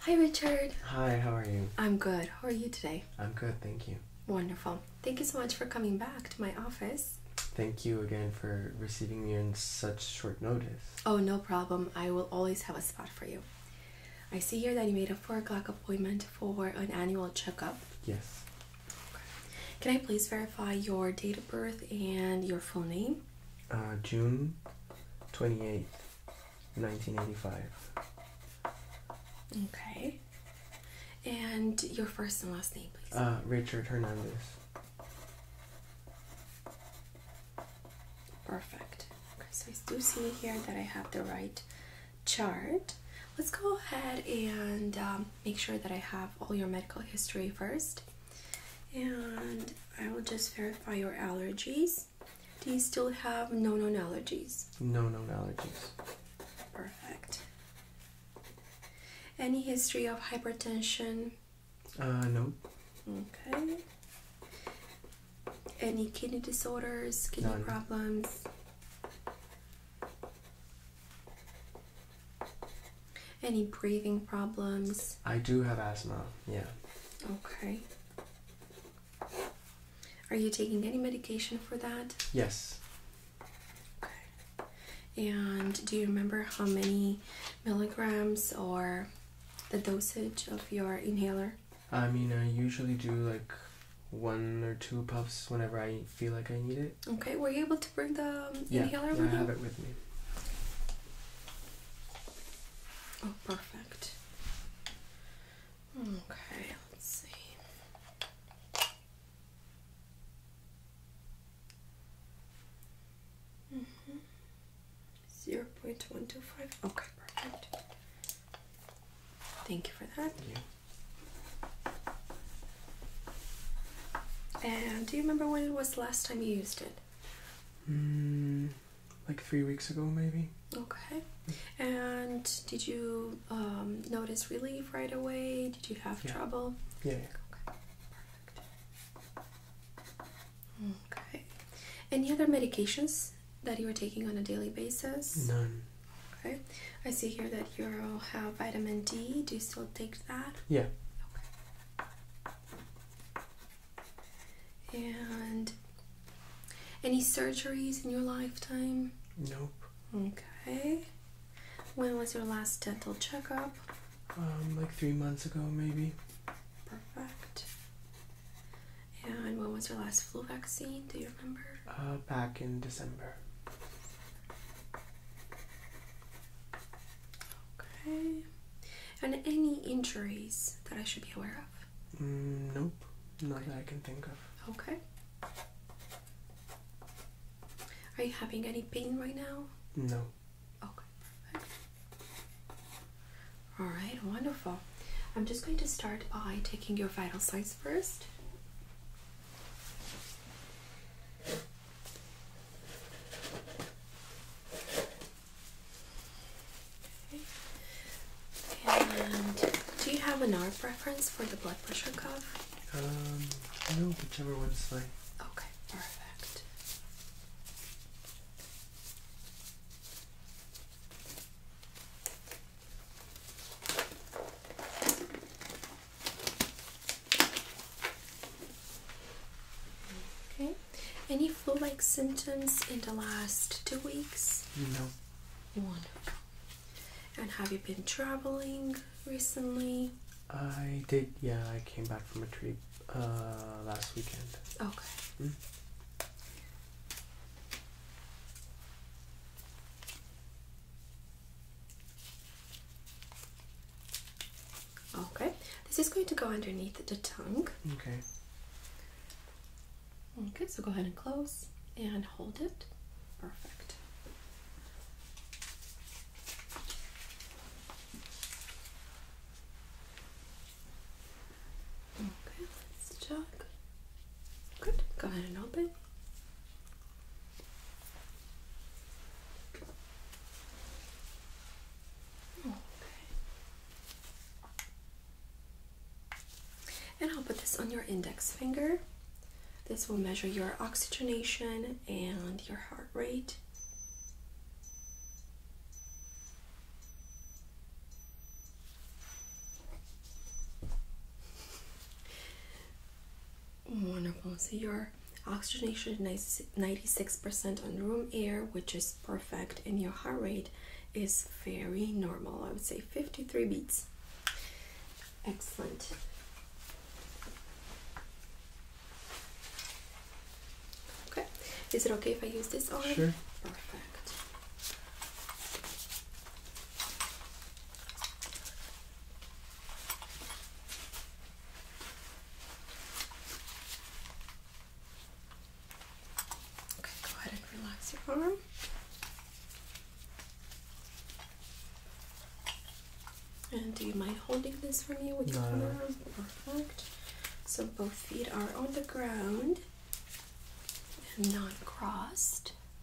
Hi, Richard. Hi, how are you? I'm good. How are you today? I'm good, thank you. Wonderful. Thank you so much for coming back to my office. Thank you again for receiving me in such short notice. Oh, no problem. I will always have a spot for you. I see here that you made a 4 o'clock appointment for an annual checkup. Yes. Can I please verify your date of birth and your full name? Uh, June 28th, 1985. Okay. And your first and last name, please. Uh, Richard Hernandez. Perfect. so I do see here that I have the right chart, let's go ahead and um, make sure that I have all your medical history first. And I will just verify your allergies. Do you still have no known allergies? No known allergies. Perfect. Any history of hypertension? Uh, no. Okay. Any kidney disorders, kidney problems? Any breathing problems? I do have asthma, yeah. Okay. Are you taking any medication for that? Yes. Okay. And do you remember how many milligrams or the dosage of your inhaler? I mean, I usually do like one or two puffs whenever I feel like I need it. Okay, were you able to bring the um, yeah, inhaler yeah, I have it with me. Oh, perfect. Okay, let's see. Mm -hmm. 0.125. Okay, perfect. Thank you for that. Yeah. And do you remember when it was the last time you used it? Mm, like three weeks ago, maybe. Okay. And did you um, notice relief right away? Did you have yeah. trouble? Yeah. Okay. Perfect. Okay. Any other medications that you are taking on a daily basis? None. Okay. I see here that you all have vitamin D. Do you still take that? Yeah. Okay. And any surgeries in your lifetime? Nope. Okay. When was your last dental checkup? Um, like three months ago, maybe. Perfect. And when was your last flu vaccine? Do you remember? Uh, back in December. Okay. And any injuries that I should be aware of? Mm, nope, not that I can think of. Okay. Are you having any pain right now? No. Okay, All right, wonderful. I'm just going to start by taking your vital signs first do you have an arm preference for the blood pressure cuff? Um, no, whichever one's like. Okay, perfect. Okay. Any flu-like symptoms in the last two weeks? No. Wonderful. And have you been traveling recently? I did. Yeah, I came back from a trip uh, last weekend. Okay. Hmm? Okay, this is going to go underneath the tongue. Okay. Okay, so go ahead and close and hold it. Perfect. Okay, let's check. Good. Go ahead and open. Okay. And I'll put this on your index finger. This will measure your oxygenation and your heart rate. Wonderful. So your oxygenation is 96% on room air, which is perfect, and your heart rate is very normal. I would say 53 beats. Excellent. Okay. Is it okay if I use this arm? Sure. Perfect. Okay, go ahead and relax your arm. And do you mind holding this for me with your no. arm? Perfect. So both feet are on the ground and not crossed.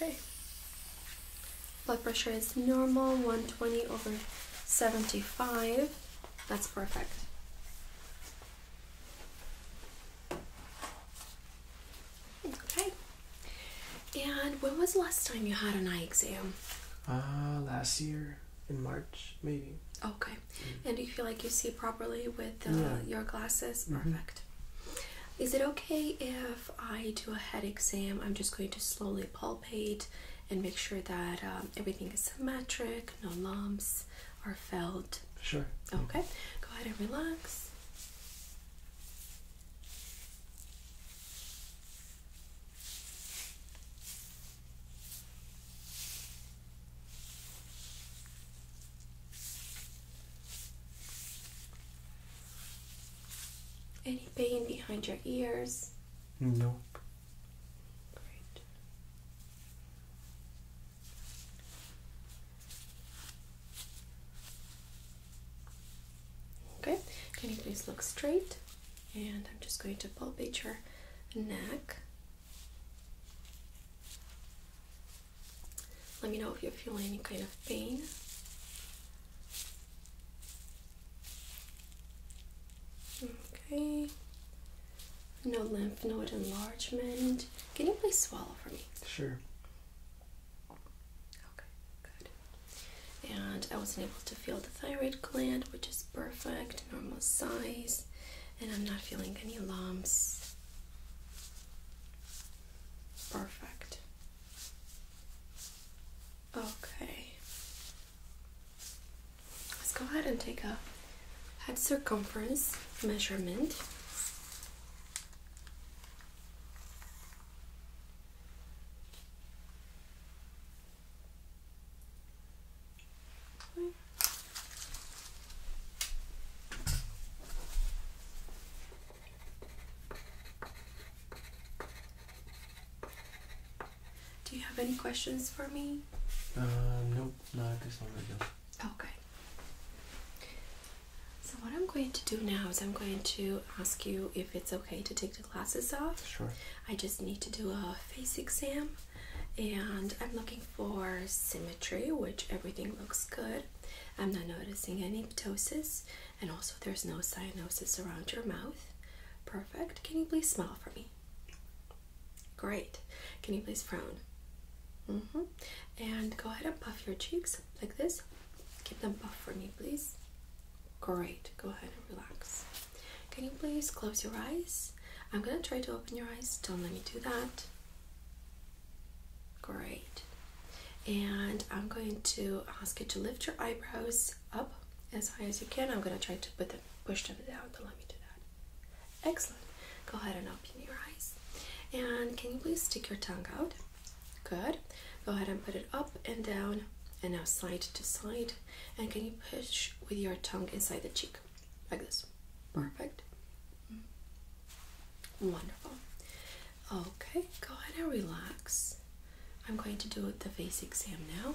Okay. Blood pressure is normal, 120 over 75. That's perfect. Okay. And when was the last time you had an eye exam? Ah, last year in March, maybe. Okay. Mm. And do you feel like you see properly with uh, your glasses? Mm-hmm. Perfect. Is it okay if I do a head exam? I'm just going to slowly palpate and make sure that um, everything is symmetric, no lumps are felt. Sure. Okay. Go ahead and relax. Any pain behind your ears? Nope. Great. Okay, can you please look straight? And I'm just going to palpate your neck. Let me know if you're feeling any kind of pain. Okay. No lymph node enlargement. Can you please swallow for me? Sure. Okay, good. And I wasn't able to feel the thyroid gland, which is perfect, normal size, and I'm not feeling any lumps. Perfect. Okay. Let's go ahead and take a head circumference measurement. Do you have any questions for me? Uh, nope, not at this moment, no. Okay. So what I'm going to do now is I'm going to ask you if it's okay to take the glasses off. Sure. I just need to do a face exam and I'm looking for symmetry, which everything looks good. I'm not noticing any ptosis and also there's no cyanosis around your mouth. Perfect. Can you please smile for me? Great. Can you please frown? Mm-hmm. And go ahead and puff your cheeks like this. Keep them buff for me, please. Great. Go ahead and relax. Can you please close your eyes? I'm gonna try to open your eyes. Don't let me do that. Great. And I'm going to ask you to lift your eyebrows up as high as you can. I'm gonna try to put them, push them down. Don't let me do that. Excellent. Go ahead and open your eyes. And can you please stick your tongue out? Good. Go ahead and put it up and down and now side to side. And can you push with your tongue inside the cheek? Like this. Perfect. Mm-hmm. Wonderful. Okay, go ahead and relax. I'm going to do the face exam now.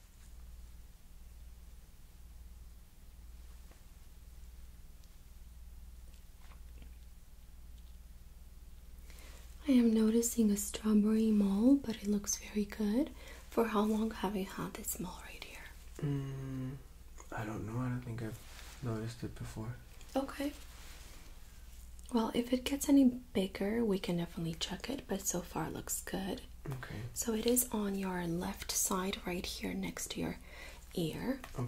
I am noticing a strawberry mole, but it looks very good. For how long have you had this mole right here? Mm, I don't know. I don't think I've noticed it before. Okay. Well, if it gets any bigger, we can definitely check it, but so far it looks good. Okay. So it is on your left side, right here next to your ear. Okay.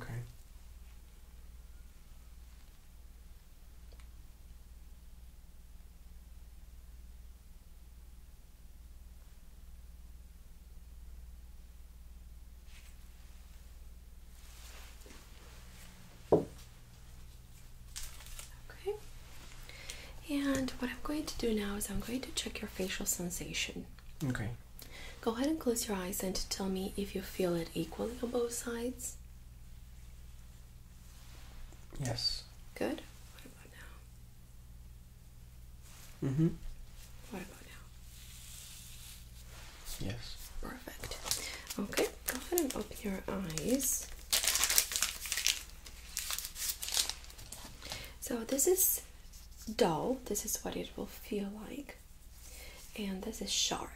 Okay. And what I'm going to do now is I'm going to check your facial sensation. Okay. Go ahead and close your eyes and tell me if you feel it equally on both sides. Yes. Good. What about now? Mm hmm. What about now? Yes. Perfect. Okay, go ahead and open your eyes. So this is dull. This is what it will feel like. And this is sharp.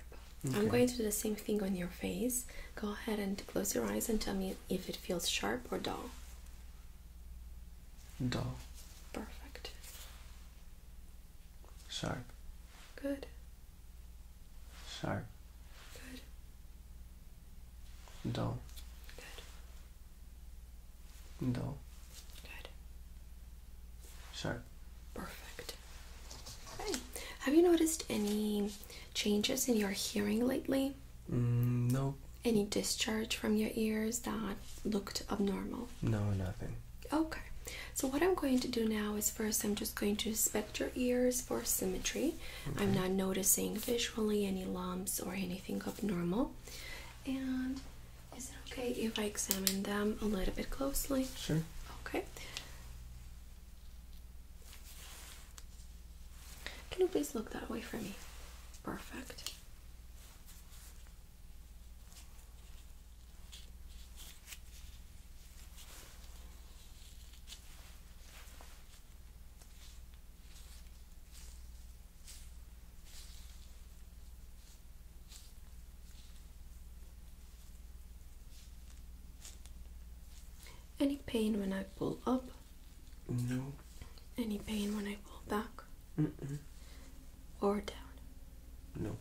I'm going to do the same thing on your face. Go ahead and close your eyes and tell me if it feels sharp or dull. Dull. Perfect. Sharp. Good. Sharp. Good. Dull. Good. No. Good. Sharp. Perfect. Right. Have you noticed any changes in your hearing lately? Mm, no. Any discharge from your ears that looked abnormal? No, nothing. Okay. So what I'm going to do now is first I'm just going to inspect your ears for symmetry. I'm not noticing visually any lumps or anything abnormal. And is it okay if I examine them a little bit closely? Sure. Okay. Can you please look that way for me? Perfect. Any pain when I pull up? No. Any pain when I pull back? mm Or down? No.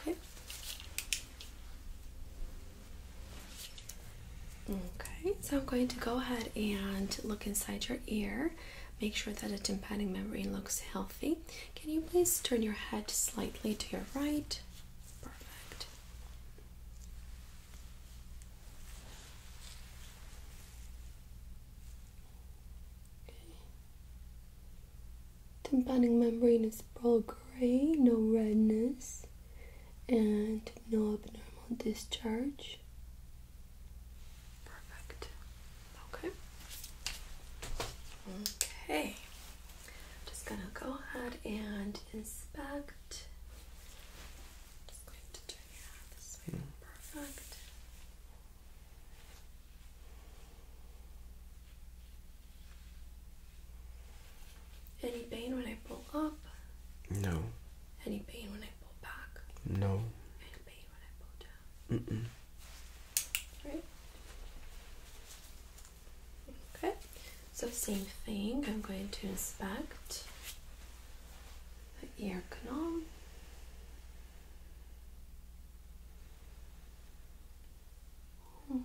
Okay. Okay, so I'm going to go ahead and look inside your ear. Make sure that the tympanic membrane looks healthy. Can you please turn your head slightly to your right? Perfect. Okay. Tympanic membrane is all gray, no redness and no abnormal discharge. Perfect. Okay. Okay. Just gonna go ahead and inspect. Hmm. Perfect. Any pain when I pull up? No. Any pain when I pull back? No. Any pain when I pull down? Mm-mm. Okay. So same thing. I'm going to inspect the ear canal. Okay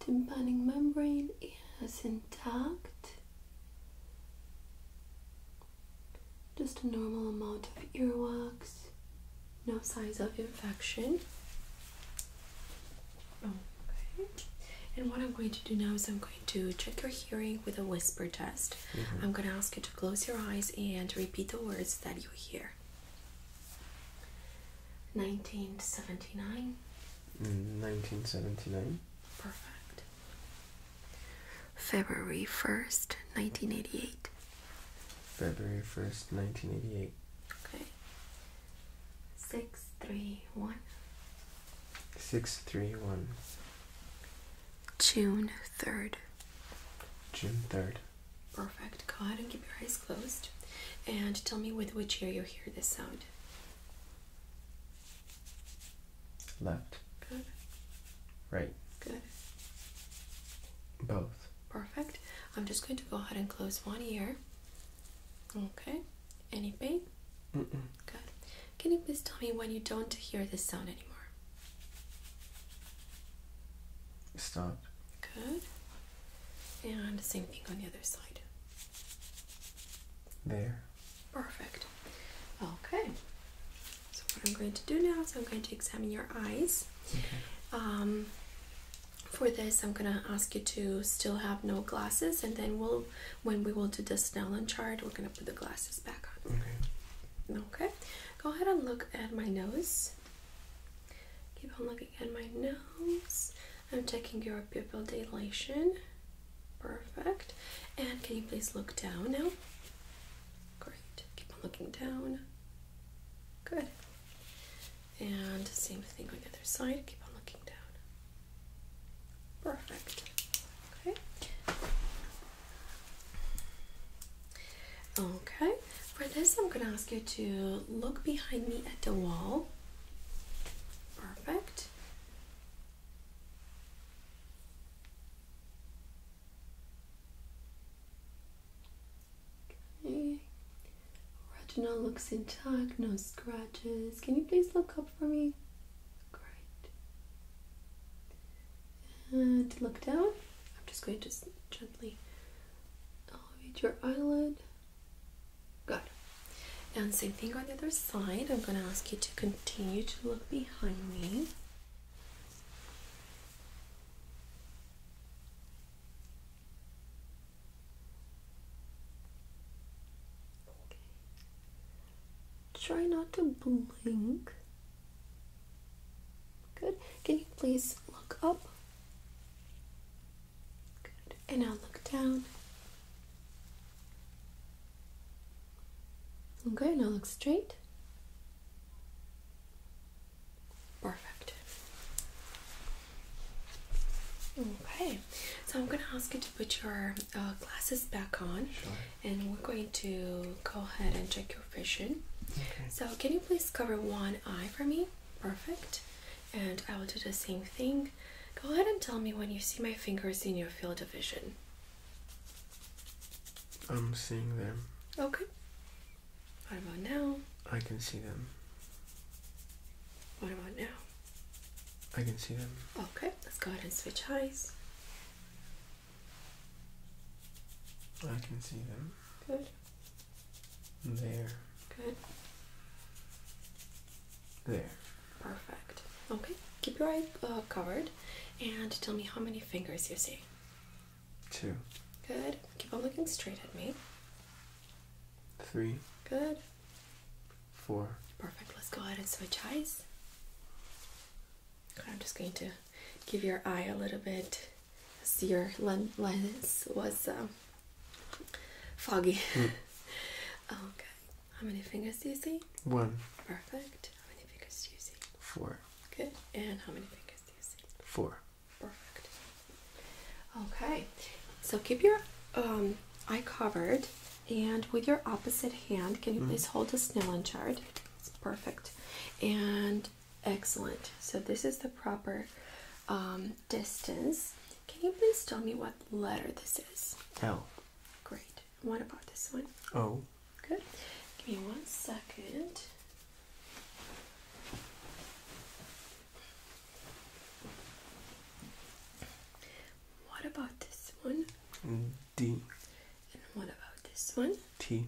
tympanic membrane is intact. Just a normal amount of earwax, no signs of infection. Okay. And what I'm going to do now is I'm going to check your hearing with a whisper test. Mm-hmm. I'm going to ask you to close your eyes and repeat the words that you hear. 1979 in 1979. Perfect. February 1st, 1988. February 1st, 1988. Okay. 631. 631. June 3rd. June 3rd. Perfect. Go ahead and keep your eyes closed. And tell me with which ear you hear this sound. Left. Good. Right. Good. Both. Perfect. I'm just going to go ahead and close one ear. Okay. Any pain? Mm -mm. Good. Can you please tell me when you don't hear this sound anymore? Stop. Good. And the same thing on the other side. There. Perfect. Okay. So what I'm going to do now is I'm going to examine your eyes. Um, for this, I'm gonna ask you to still have no glasses, and then we'll, when we will do the Snellen chart, we're gonna put the glasses back on. Okay. Okay. Go ahead and look at my nose. Keep on looking at my nose. I'm checking your pupil dilation. Perfect. And can you please look down now? Great. Keep on looking down. Good. And same thing on the other side. Keep on looking down. Perfect. Okay. Okay. For this, I'm going to ask you to look behind me at the wall. Perfect. Okay. Retina looks intact, no scratches. Can you please look up for me? Great. And look down. I'm just going to gently elevate your eyelid. Good. And same thing on the other side. I'm going to ask you to continue to look behind me. Okay. Try not to blink. Good. Can you please look up? Good. And I'll look down. Okay, now look straight. Perfect. Okay, so I'm going to ask you to put your uh, glasses back on, and we're going to go ahead and check your vision. Okay. So, can you please cover one eye for me? Perfect. And I will do the same thing go ahead and tell me when you see my fingers in your field of vision. I'm seeing them. Okay. What about now? I can see them. What about now? I can see them. Okay, let's go ahead and switch eyes. I can see them. Good. There. Good. There. Perfect. Okay, keep your eye uh, covered and tell me how many fingers you see. Two. Good. Keep on looking straight at me. Three. Good. Four. Perfect. Let's go ahead and switch eyes. I'm just going to give your eye a little bit See your lens was um, Foggy. Hmm. Okay. How many fingers do you see? One. Perfect. How many fingers do you see? Four. Good. And how many fingers do you see? Four. Perfect. Okay. So keep your um, eye covered and with your opposite hand, can you hmm. please hold a Snellen chart? It's perfect. And excellent. So this is the proper um, distance can you please tell me what letter this is? L. Great. What about this one? O. Good. Give me one second. What about this one? Mm, D. And what about this one? T.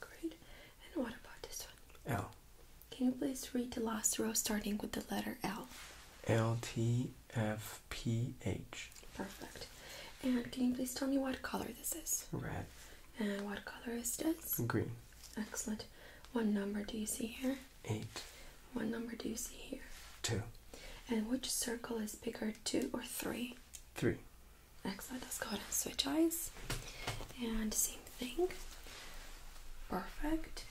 Great. And what about this one? L. Can you please read the last row starting with the letter L? L T F P H. Perfect. And can you please tell me what color this is? Red. And what color is this? Green. Excellent. What number do you see here? Eight. What number do you see here? Two. And which circle is bigger, two or three? Three. Excellent. Let's go ahead and switch eyes and see same Perfect.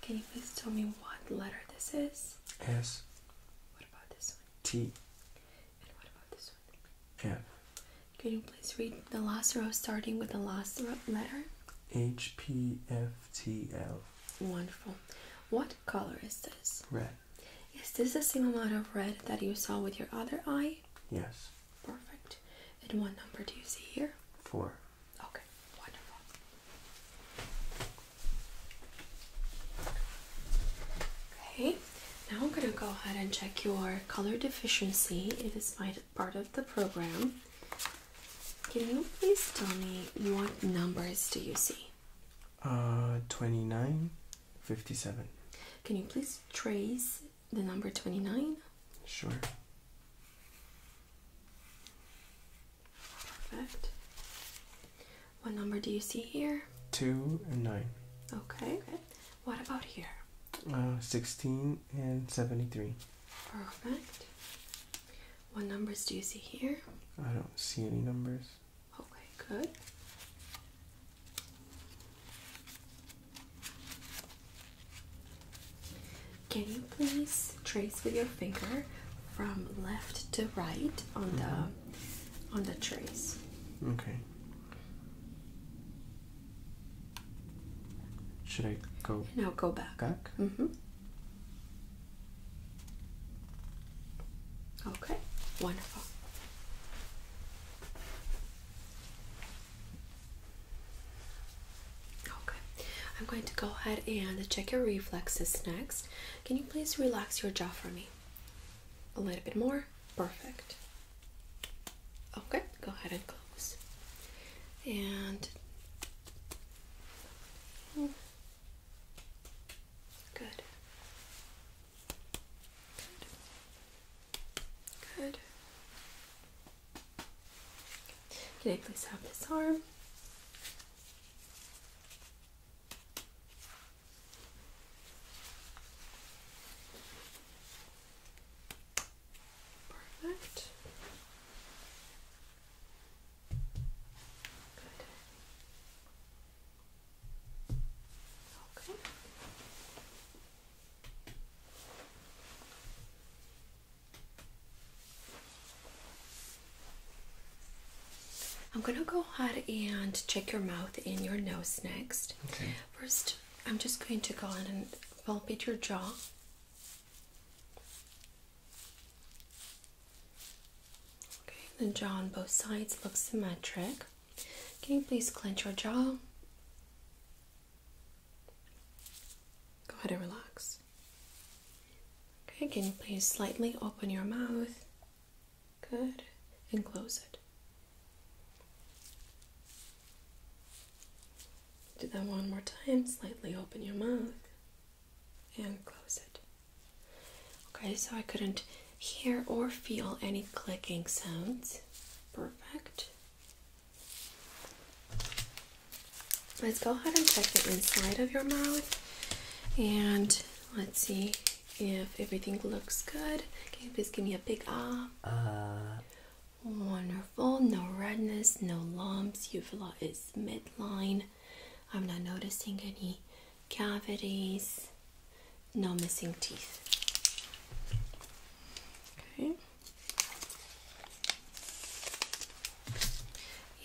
Can you please tell me what letter this is? S. And what about this one? F. Can you please read the last row starting with the last letter? H P F T L. Wonderful. What color is this? Red. Is this the same amount of red that you saw with your other eye? Yes. Perfect. And what number do you see here? Four. Okay, wonderful. Okay, now I'm going to go ahead and check your color deficiency. It is part of the program. Can you please tell me what numbers do you see? Uh, 29, 57. Can you please trace the number 29? Sure. Perfect. What number do you see here? Two and nine. Okay. What about here? Uh, 16 and 73. Perfect. What numbers do you see here? I don't see any numbers. Okay, good. Can you please trace with your finger from left to right on the mm-hmm. on the trace? Okay. Should I go? Now go back. Back. Mm -hmm. Okay. Wonderful. Okay, I'm going to go ahead and check your reflexes next. Can you please relax your jaw for me? A little bit more. Perfect. Okay, go ahead and close. And hmm. good. Good. Good. Can I please have this arm? Perfect. Good. Okay. I'm going to go ahead and check your mouth and your nose next. Okay. First, I'm just going to go ahead and palpate your jaw. Okay, the jaw on both sides looks symmetric. Can you please clench your jaw? Go ahead and relax. Okay, can you please slightly open your mouth? Good. And close it. Do that one more time. Slightly open your mouth and close it. Okay, so I couldn't hear or feel any clicking sounds. Perfect. Let's go ahead and check the inside of your mouth and let's see if everything looks good. Can you please give me a big ah? Ah. Wonderful. No redness, no lumps. You've Uvula is midline. I'm not noticing any cavities. No missing teeth. Okay.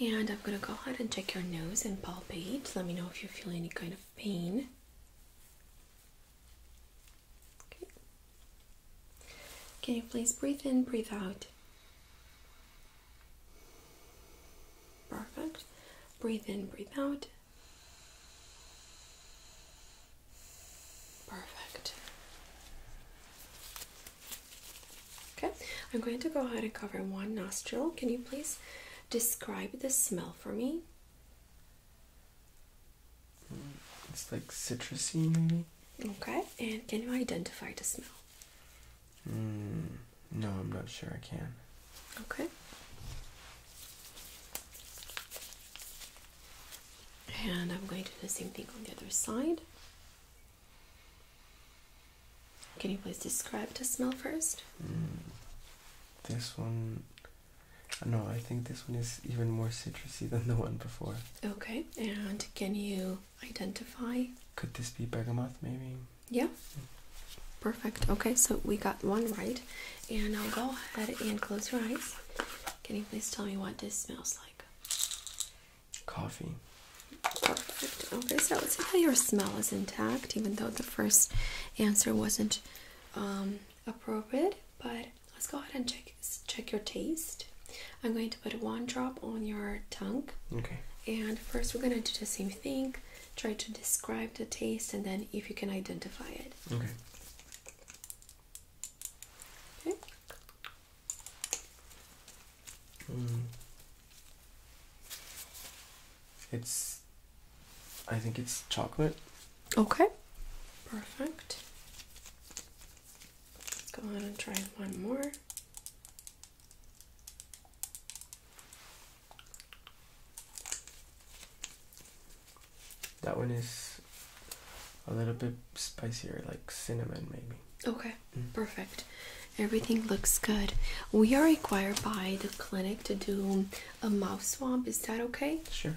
And I'm gonna go ahead and check your nose and palpate. Let me know if you feel any kind of pain. Okay. Can please breathe in, breathe out? Perfect. Breathe in, breathe out. Perfect. Okay, I'm going to go ahead and cover one nostril. Can you please describe the smell for me? It's like citrusy, maybe. Okay, and can you identify the smell? Mm, no, I'm not sure I can. Okay and I'm going to do the same thing on the other side. Can you please describe the smell first? Mm. this one, no, I think this one is even more citrusy than the one before. Okay, and can you identify? Could this be bergamot maybe? Yeah. Perfect. Okay, so we got one right, and I'll go ahead and close your eyes. Can you please tell me what this smells like? coffee. Perfect. Okay, so let's see how your smell is intact, even though the first answer wasn't um, appropriate. But let's go ahead and check check your taste. I'm going to put one drop on your tongue. Okay. And first, we're gonna do the same thing. Try to describe the taste, and then if you can identify it. Okay. Okay. Mm. It's. I think it's chocolate. Okay. Perfect. Let's go ahead and try one more. That one is a little bit spicier, like cinnamon, maybe. Okay, mm. perfect. Everything looks good. We are required by the clinic to do a mouth swab. Is that okay? Sure.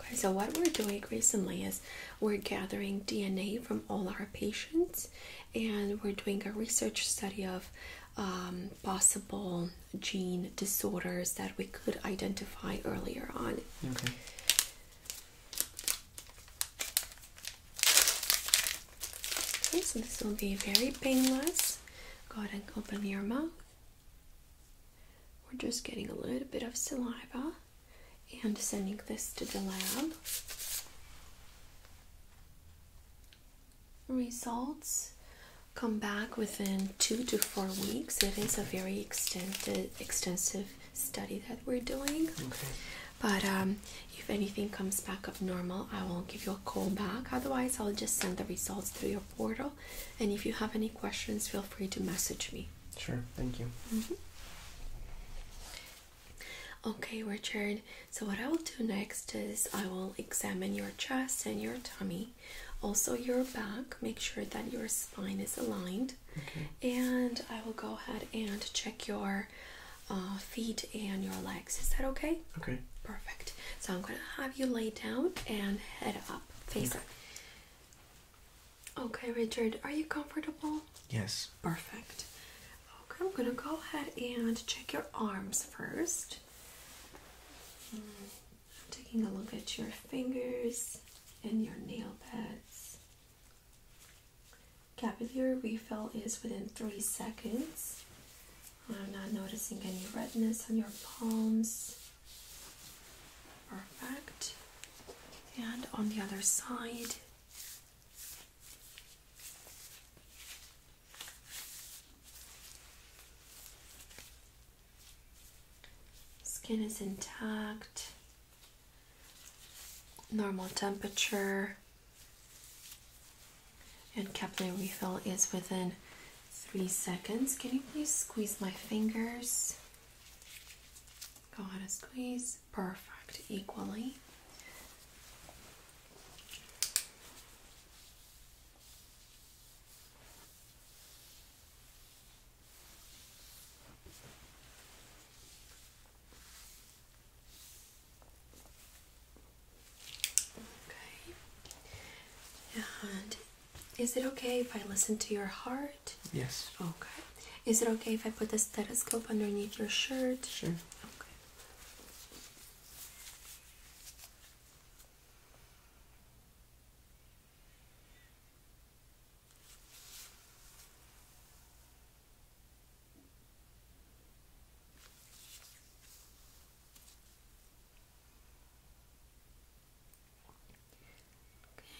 Okay, so what we're doing recently is we're gathering DNA from all our patients and we're doing a research study of um, possible gene disorders that we could identify earlier on. Okay. Okay, so this will be very painless. Go ahead and open your mouth. We're just getting a little bit of saliva and sending this to the lab. Results come back within two to four weeks. It is a very extended, extensive study that we're doing. But um, if anything comes back up normal, I will give you a call back. Otherwise, I'll just send the results through your portal. And if you have any questions, feel free to message me. Sure, thank you. Mm-hmm. Okay, Richard. So, what I will do next is I will examine your chest and your tummy, also your back, make sure that your spine is aligned. And I will go ahead and check your uh, feet and your legs. Is that okay? Okay. Perfect. So I'm going to have you lay down and head up, face okay. up. Okay, Richard, are you comfortable? Yes. Perfect. Okay, I'm going to go ahead and check your arms first. Hmm, I'm taking a look at your fingers and your nail beds. Capillary refill is within three seconds. I'm not noticing any redness on your palms. Perfect. And on the other side. Skin is intact, normal temperature and capillary refill is within three seconds. Can you please squeeze my fingers? Go ahead and squeeze. Perfect. Equally. Okay. And is it okay if I listen to your heart? Yes. Okay. Is it okay if I put the stethoscope underneath your shirt? Sure. Okay.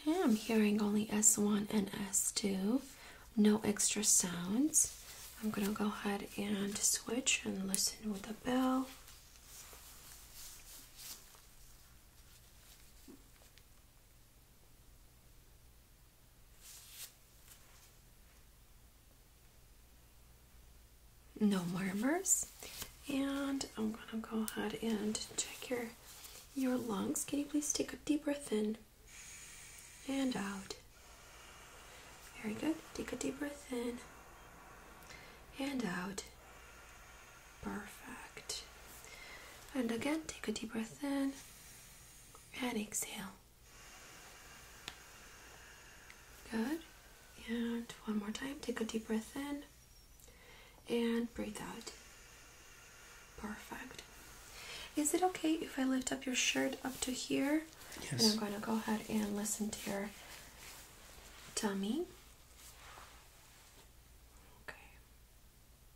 Okay, I'm hearing only S1 and S2, no extra sounds. I'm going to go ahead and switch and listen with the bell. No murmurs. And I'm gonna go ahead and check your your lungs. Can you please take a deep breath in and out? Very good. Take a deep breath in and out. Perfect. And again, take a deep breath in and exhale. Good. And one more time, take a deep breath in and breathe out. Perfect. Is it okay if I lift up your shirt up to here? Yes. And I'm going to go ahead and listen to your tummy. Okay.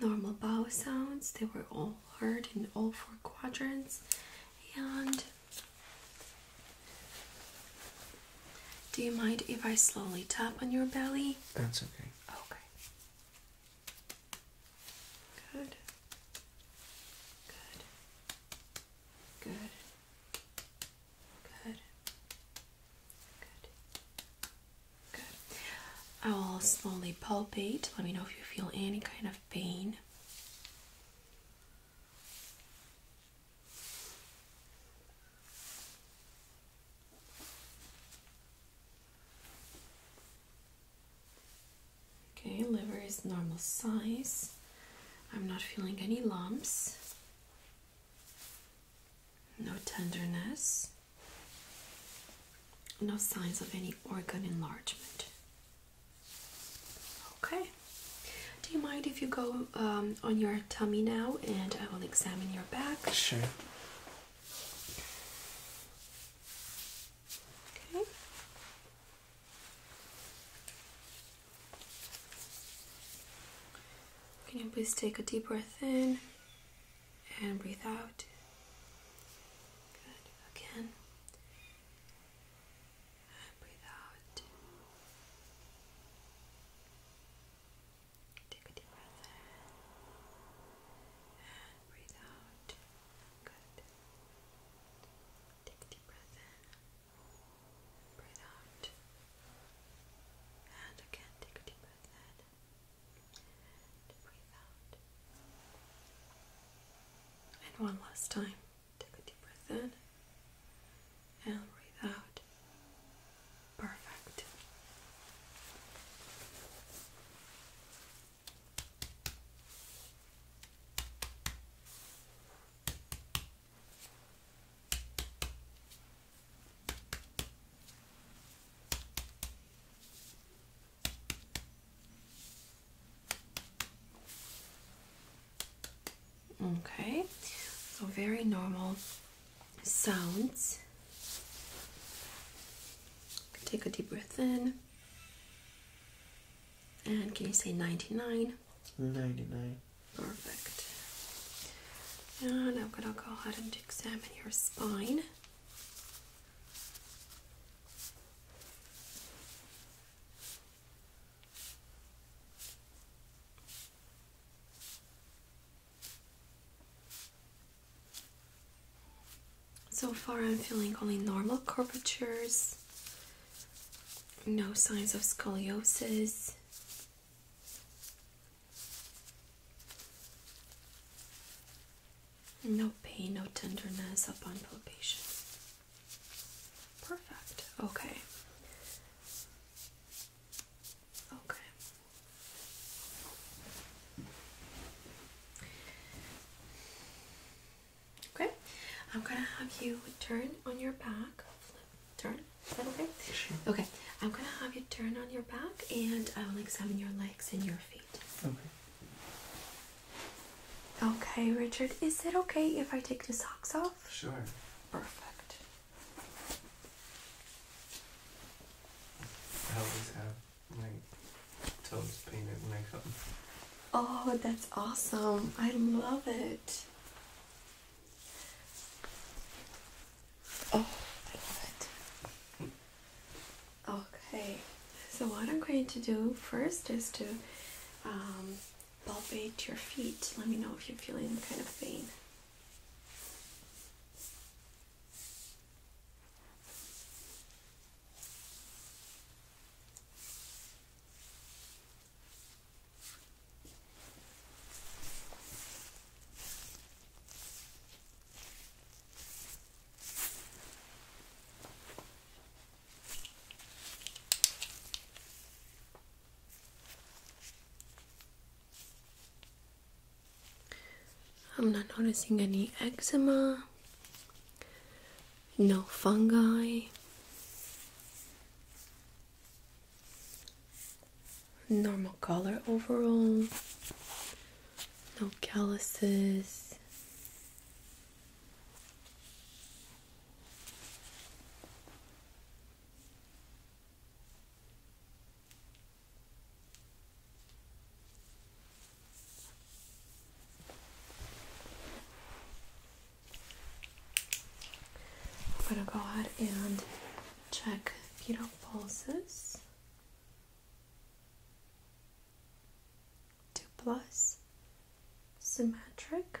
Normal bowel sounds, they were all heard in all four quadrants. And do you mind if I slowly tap on your belly? That's okay. Okay. Good. Good. Good. Good. Good. Good. I will slowly palpate. Let me know if you feel any kind of pain. Okay, liver is normal size. I'm not feeling any lumps. No tenderness. No signs of any organ enlargement. Okay. Do you mind if you go um, on your tummy now and I will examine your back? Sure. Okay. Can you please take a deep breath in and breathe out? Good. Again. breathe out. Take a deep breath in and breathe out. Good. Take a deep breath in. Breathe out. And again, take a deep breath in. And breathe out. And one last time. Take a deep breath in. And breathe out. Perfect. Okay, so very normal sounds. Take a deep breath in and can you say 99? 99. Perfect. And I'm gonna go ahead and examine your spine. So far, I'm feeling only normal curvatures, no signs of scoliosis. No pain, no tenderness upon palpation. Perfect. Okay. Okay. Okay, I'm gonna have you turn on your back. turn. Is that okay? Okay, I'm gonna have you turn on your back, and I will examine your legs and your feet. Okay. Okay, Richard. Is it okay if I take the socks off? Sure. Perfect toes painted when I come. Oh, that's awesome. I love it. Oh, I love it. Okay, so what I'm going to do first is to um, palpate your feet. Let me know if you're feeling kind of pain. I'm not noticing any eczema, no fungi, normal color overall, no calluses. I'm going to go ahead and check fetal pulses. Two plus, symmetric.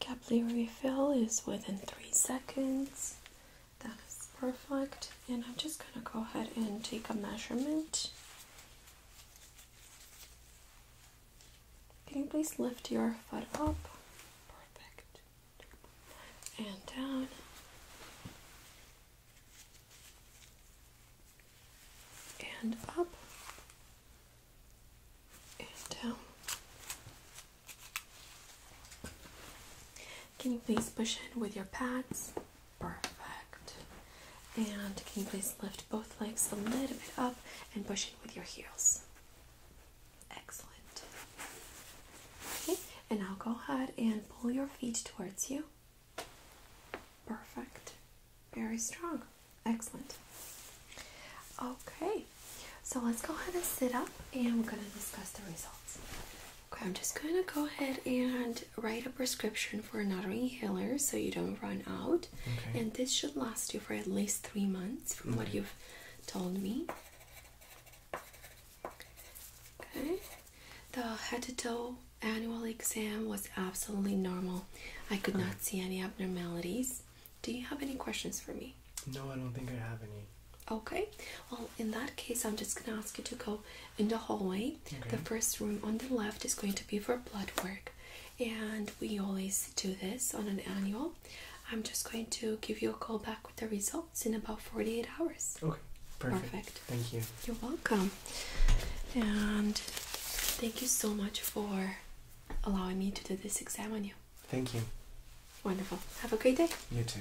Capillary fill is within three seconds. That is perfect. And I'm just gonna go ahead and take a measurement can you please lift your foot up? Perfect. And down. And up. And down. Can you please push in with your pads? Perfect. And can you please lift both legs a little bit up and push in with your heels? Excellent. Okay, and now go ahead and pull your feet towards you. Perfect. Very strong. Excellent. Okay, so let's go ahead and sit up and we're going to discuss the results. Okay, I'm just going to go ahead and write a prescription for another inhaler so you don't run out. And this should last you for at least three months, from what mm-hmm. you've told me. Okay. The head to toe annual exam was absolutely normal. I could not uh-huh. see any abnormalities. Do you have any questions for me? No, I don't think I have any. Okay, well, in that case, I'm just gonna ask you to go in the hallway. The first room on the left is going to be for blood work, and we always do this on an annual. I'm just going to give you a call back with the results in about 48 hours. Okay, perfect. Thank you. You're welcome. And thank you so much for allowing me to do this exam on you. Thank you. Wonderful. Have a great day. You too.